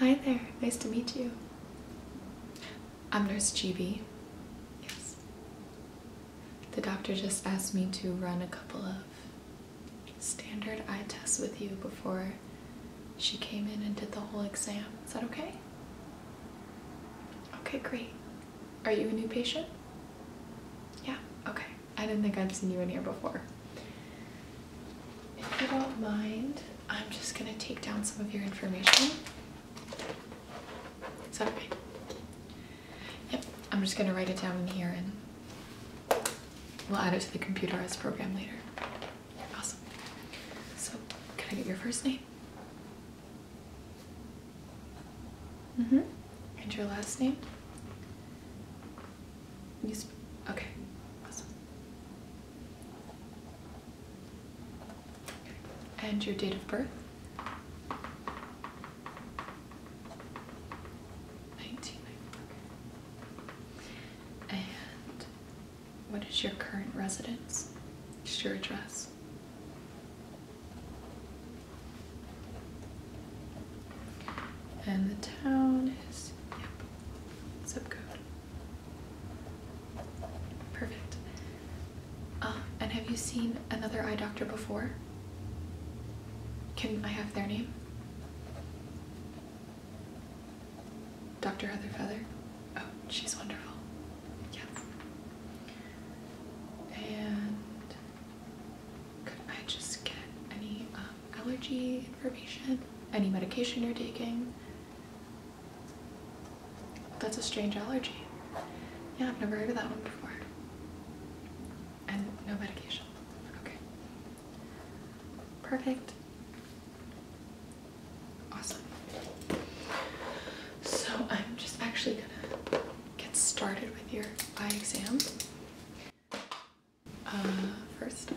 Hi there, nice to meet you. I'm Nurse GB. Yes. The doctor just asked me to run a couple of standard eye tests with you before she came in and did the whole exam. Is that okay? Okay, great. Are you a new patient? Yeah, okay. I didn't think I'd seen you in here before. If you don't mind, I'm just going to take down some of your information. Is that Yep, I'm just going to write it down in here and we'll add it to the computer as program later. Awesome. So, can I get your first name? Mm-hmm. And your last name? You okay. Awesome. And your date of birth? 1994. And what is your current residence? Just your address. And the town is, yep, zip code. Perfect. Um, and have you seen another eye doctor before? Can I have their name? Dr. Heather Feather? Oh, she's wonderful. Yes. And could I just get any um, allergy information, any medication you're taking. That's a strange allergy. Yeah, I've never heard of that one before. And no medication. Okay. Perfect. Awesome. So I'm just actually gonna get started with your eye exam. Uh, first.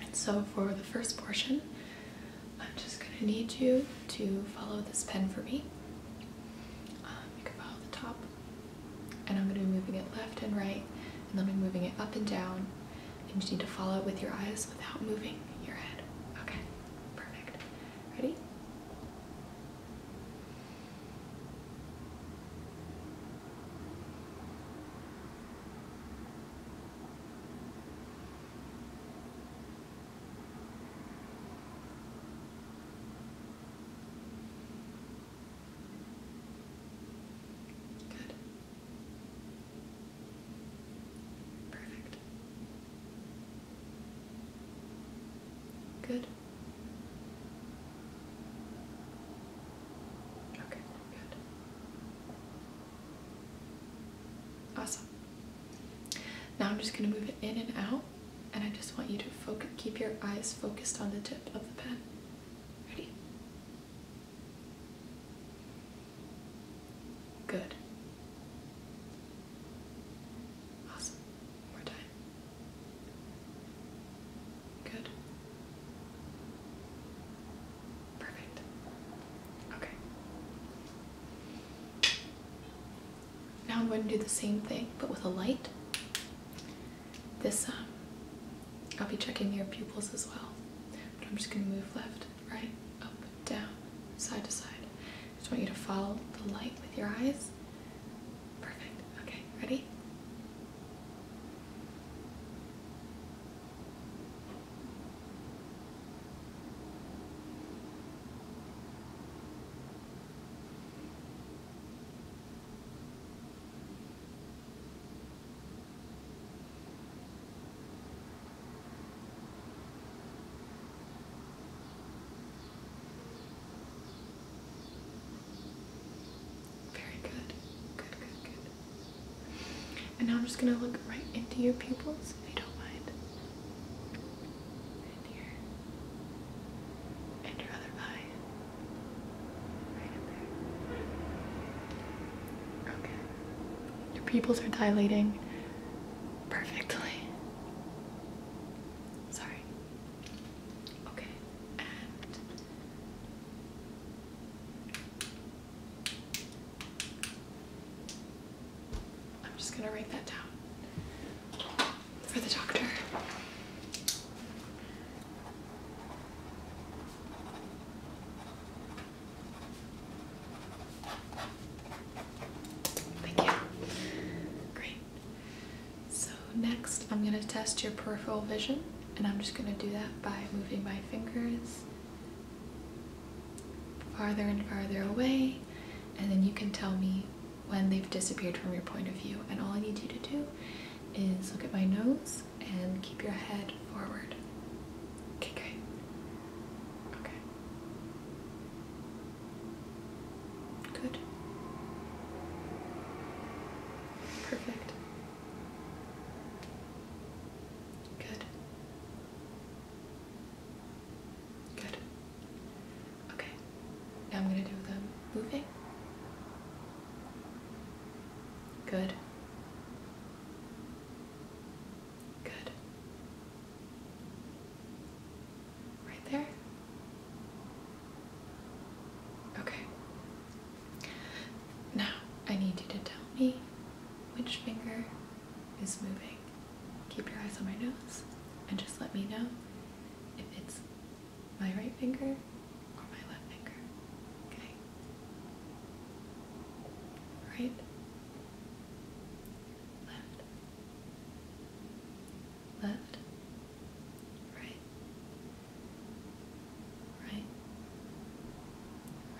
And so for the first portion, I'm just going to need you to follow this pen for me. Um, you the top and I'm going to be moving it left and right and then I'm moving it up and down and you just need to follow it with your eyes without moving your head. Okay, perfect. Ready? Good. Perfect. Good. Okay, good. Awesome. Now I'm just going to move it in and out and I just want you to focus, keep your eyes focused on the tip of the pen. Ready? Good. Awesome. more time. Good. Perfect. Okay. Now I'm going to do the same thing, but with a light. This, um, I'll be checking your pupils as well, but I'm just going to move left, right, up, down, side to side. I just want you to follow the light with your eyes. Perfect. Okay, ready? Very good. Good, good, good. And now I'm just going to look right into your pupils if you don't mind and here, and your other eye, right in there. Okay, your pupils are dilating perfectly. Sorry. Okay, I'm just gonna write that down for the doctor. Thank you. Great. So next I'm gonna test your peripheral vision and I'm just gonna do that by moving my fingers farther and farther away and then you can tell me when they've disappeared from your point of view and all I need you to do is look at my nose and keep your head forward. Okay, great. Okay. Good. Perfect. Good. Good. Okay. Now I'm going to do the moving. Good. Good. Right there. Okay. Now I need you to tell me which finger is moving, keep your eyes on my nose and just let me know if it's my right finger or my left finger. Okay? Right? Left. Left. Right. Right.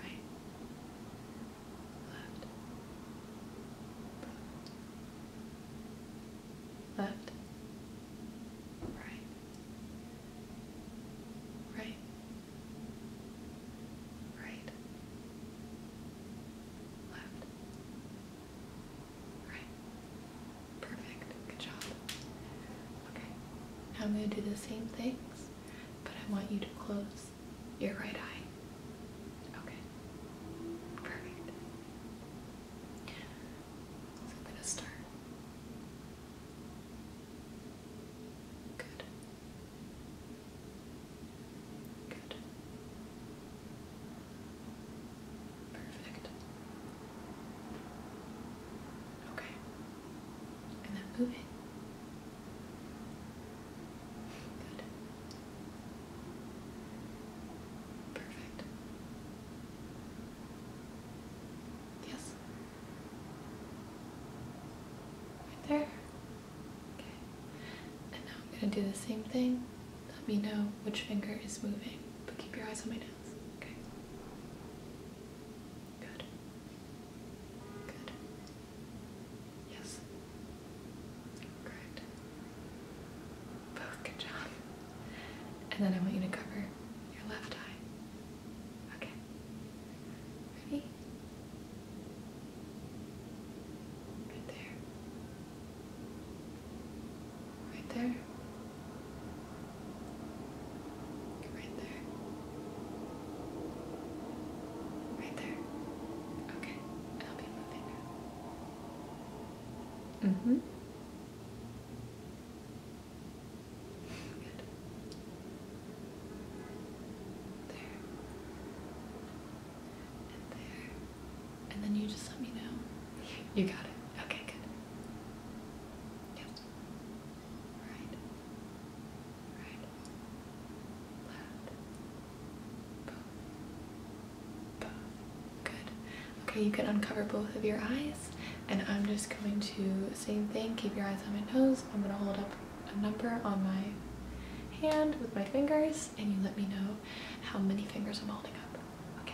Right left, left, right, right, right, left, right. Perfect. Good job. Okay. I'm going to do the same things, but I want you to close your right eye. Okay. Perfect. So I'm gonna start. Good. Good. Perfect. Okay. And then moving. Perfect. Yes. Right there. Okay. And now I'm going to do the same thing. Let me know which finger is moving, but keep your eyes on my nose. Okay. Good. Good. Yes. Correct. Both, good job. And then I want you to cover your left eye. Okay. Ready? Right there. Right there. Right there. Right there. Okay, I'll be moving hmm. Good. There. And there. And then you just let me know. You got it. Okay, good. Yep. All right right, left, both, both. Good. Okay, you can uncover both of your eyes, and I'm just going to same thing. Keep your eyes on my nose. I'm gonna hold up a number on my hand with my fingers, and you let me know how many fingers I'm holding up. Okay.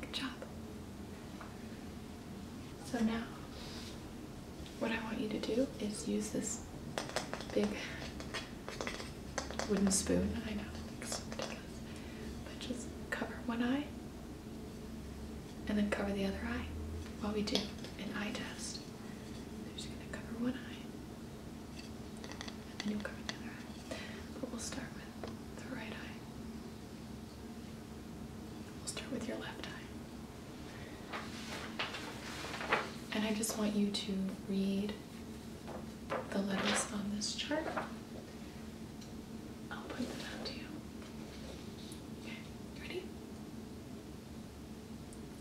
Good job. So now, what I want you to do is use this big wooden spoon. I know it looks ridiculous, but just cover one eye and then cover the other eye while we do an eye test. i are just gonna cover one eye and then you'll cover the other eye. But we'll start with the right eye. We'll start with your left eye. And I just want you to read the letters on this chart. I'll point them out to you. Okay, ready?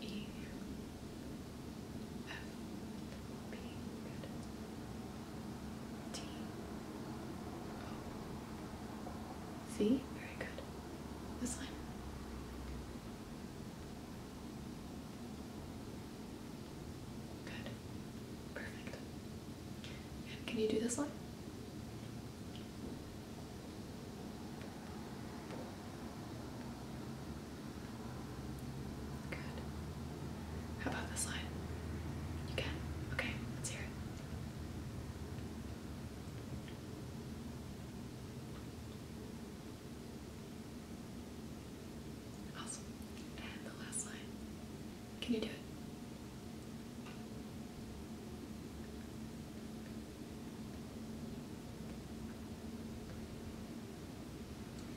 E, F, B, T. O. Oh. C. Very good. This line. Good. Perfect. can you do this line? Good. How about this line? You can? Okay, let's hear it. Awesome. And the last line. Can you do it?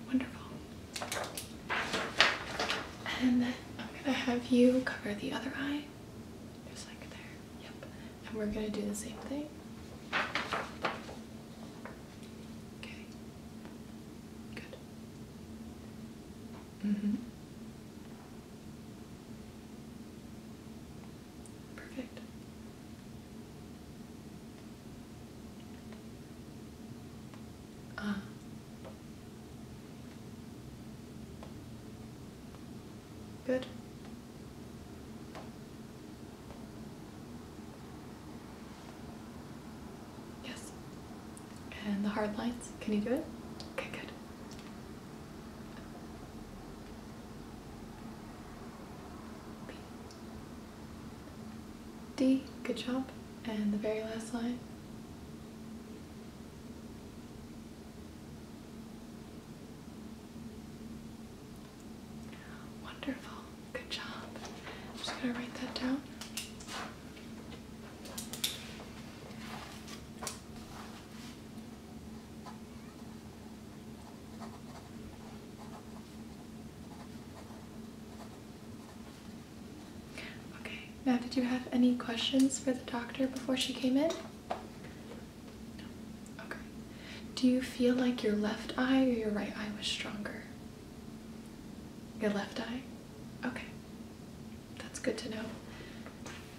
Wonderful. And then I'm gonna have you cover the other eye, just like there. Yep. And we're gonna do the same thing. Okay. Good. Mm-hmm. Perfect. Uh, Good. Yes. And the hard lines, can you do it? Okay, good. D, good job. And the very last line. Wonderful, good job. I'm just gonna write that down. Okay, now did you have any questions for the doctor before she came in? No. Okay. Do you feel like your left eye or your right eye was stronger? Your left eye? Okay. That's good to know.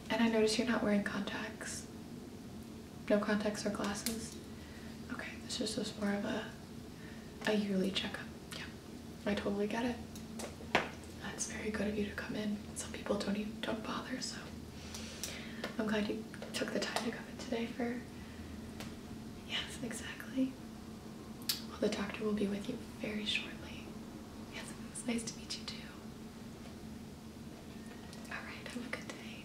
And I notice you're not wearing contacts. No contacts or glasses? Okay, this is just more of a, a yearly checkup. Yeah. I totally get it. That's very good of you to come in. Some people don't even don't bother, so I'm glad you took the time to come in today for Yes, exactly. Well the doctor will be with you very shortly. Yes, it was nice to meet you too. Alright, have a good day.